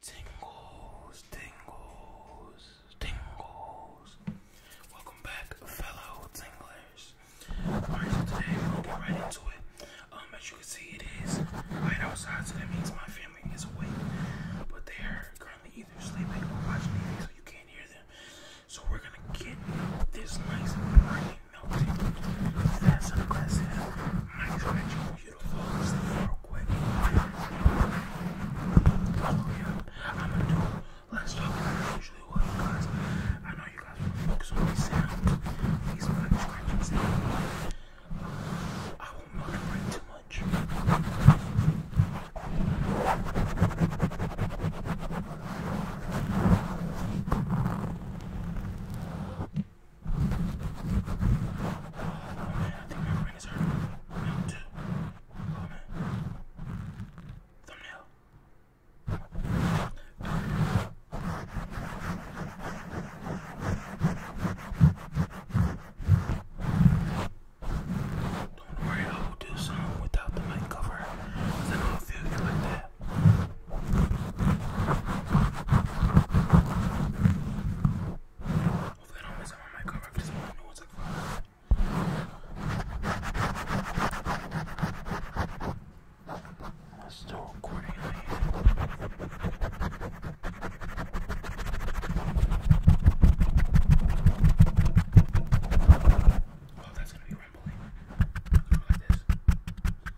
Tingles, tingles, tingles. Welcome back, fellow tinglers. Alright, so today we'll get right into it. Um, as you can see, it is light outside, so that means my family is awake. But they are currently either sleeping or watching TV, so you can't hear them. So we're gonna get this nice and bright melting. That's a classic. Nice that you beautiful. Just real quick. Oh, yeah. I'm gonna do less talking than I usually would because I know you guys really focus on the sound. These like scratching sound. I won't moderate too much. Oh man, I think my brain is hurting. Now too. Oh man. Thumbnail. Don't worry, I will do some without the mic cover. Cause I know a few of you like that. Hopefully, I don't mess up my mic cover because my nose like fire. I'm still recording. Oh, that's gonna be rumbling. Go like this.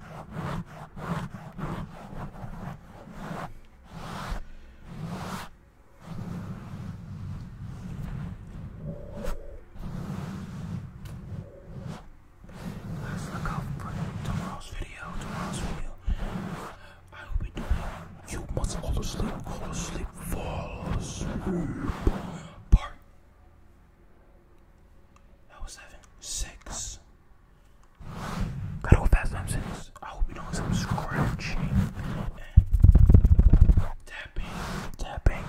Guys, look out for tomorrow's video. Tomorrow's video, I will be doing. You must fall asleep, fall asleep, fall asleep. Part that was seven. Six. Gotta go fast time six. I will be doing some scratching tapping. Tapping.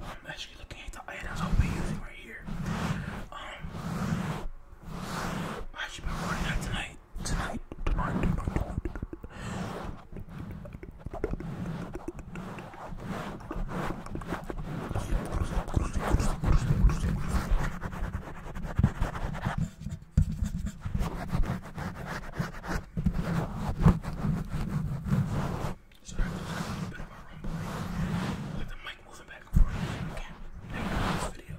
I'm actually looking at the items I'll be using right here. Um I should be recording that Tonight, tonight, tonight, tonight. Sorry, there's a little bit of a rumbling. Like the mic moving back and forth. Okay, now this video.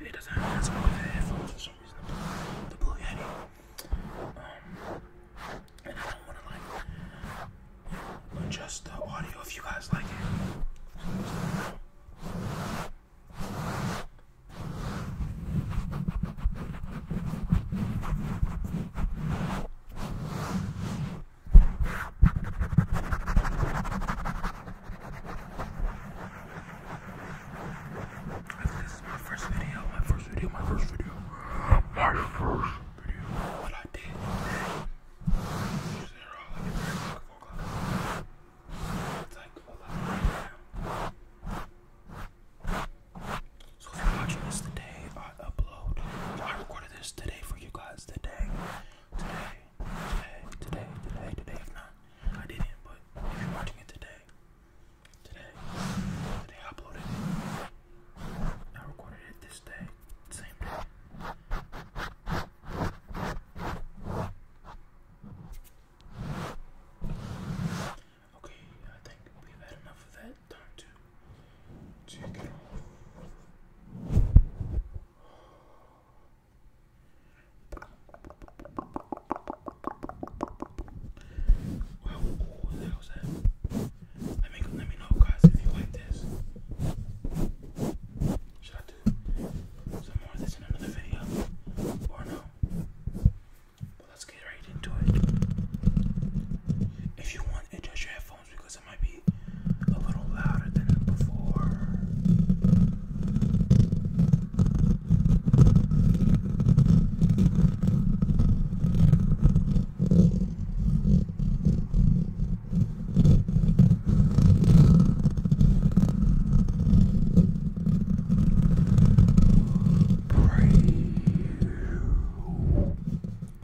It doesn't have some headphones for some reason. The Blue Yeti. Um, and I don't want to like adjust the audio if you guys like it this is my first video, my first video, my first video, my first video. What I did. So if you're this today, I upload. I recorded this today for you guys today. Today today, today, today. If not, I didn't, but if you're watching it today, today, today I uploaded it. I recorded it this day, same day. Okay, I think we've had enough of that. Time to check it off. Well, what the hell's that? Let me let me know, guys, if you like this. Should I do some more of this in another video, or no? Well, let's get right into it. If you want, adjust your headphones because it might be a little louder than before. Pray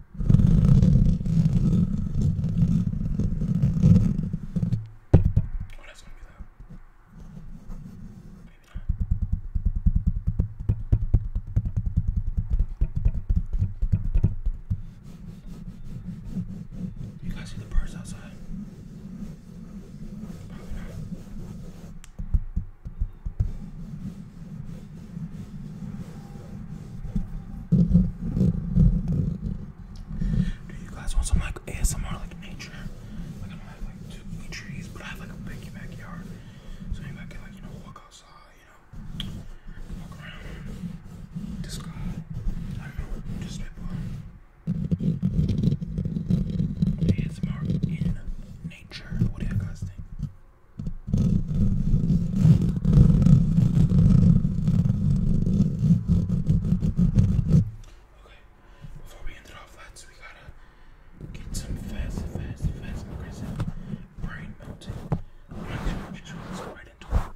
Oh, that's gonna be loud. Maybe not. You guys see the birds outside? Probably not. Do you guys want some like ASMR like nature? Like I don't have like too trees, but I have like a big backyard. So maybe I can like, you know, walk outside, you know, walk around this guy. just people. ASMR in nature. What do you guys think? Okay, before we end it off, let's we gotta get some fast, fast, fast aggressive brain melting. Let's go right into it.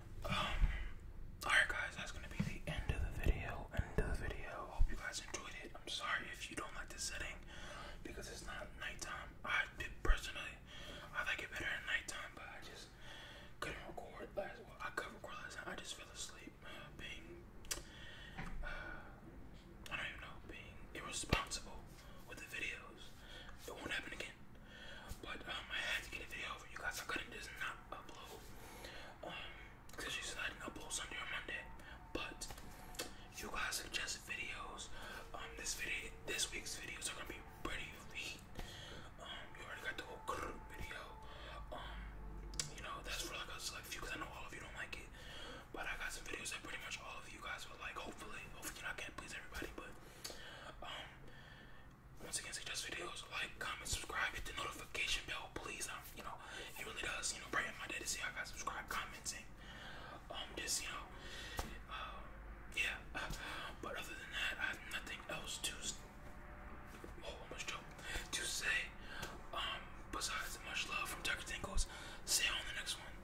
Um, alright guys, that's gonna be the end of the video. End of the video. Hope you guys enjoyed it. I'm sorry if you don't like the setting because it's not nighttime. I personally, I like it better at nighttime, but I just couldn't record last. Well, I could record last I just fell asleep uh, being, uh, I don't even know, being irresponsible with the videos. It won't happen again. But um, I had to get a video you guys. are gonna just not upload. Um, because she's said I didn't Sunday Monday. But you guys suggested videos. Um, this video, this week's videos are gonna be pretty elite. Um, you already got the whole group video. Um, you know that's for like a select few I know all of you don't like it. But I got some videos that pretty much all of you guys will like. Hopefully, hopefully I can please everybody, but um, once again, suggest videos, like, comment, subscribe, hit the notification bell, please. Um, you know, it really does, you know, brighten my day to see I got subscribed, comments, um, just you know, uh, yeah. but other than that, I have nothing else to. Oh, almost joke. To say, um, besides much love from Tucker Tinkles. See you on the next one.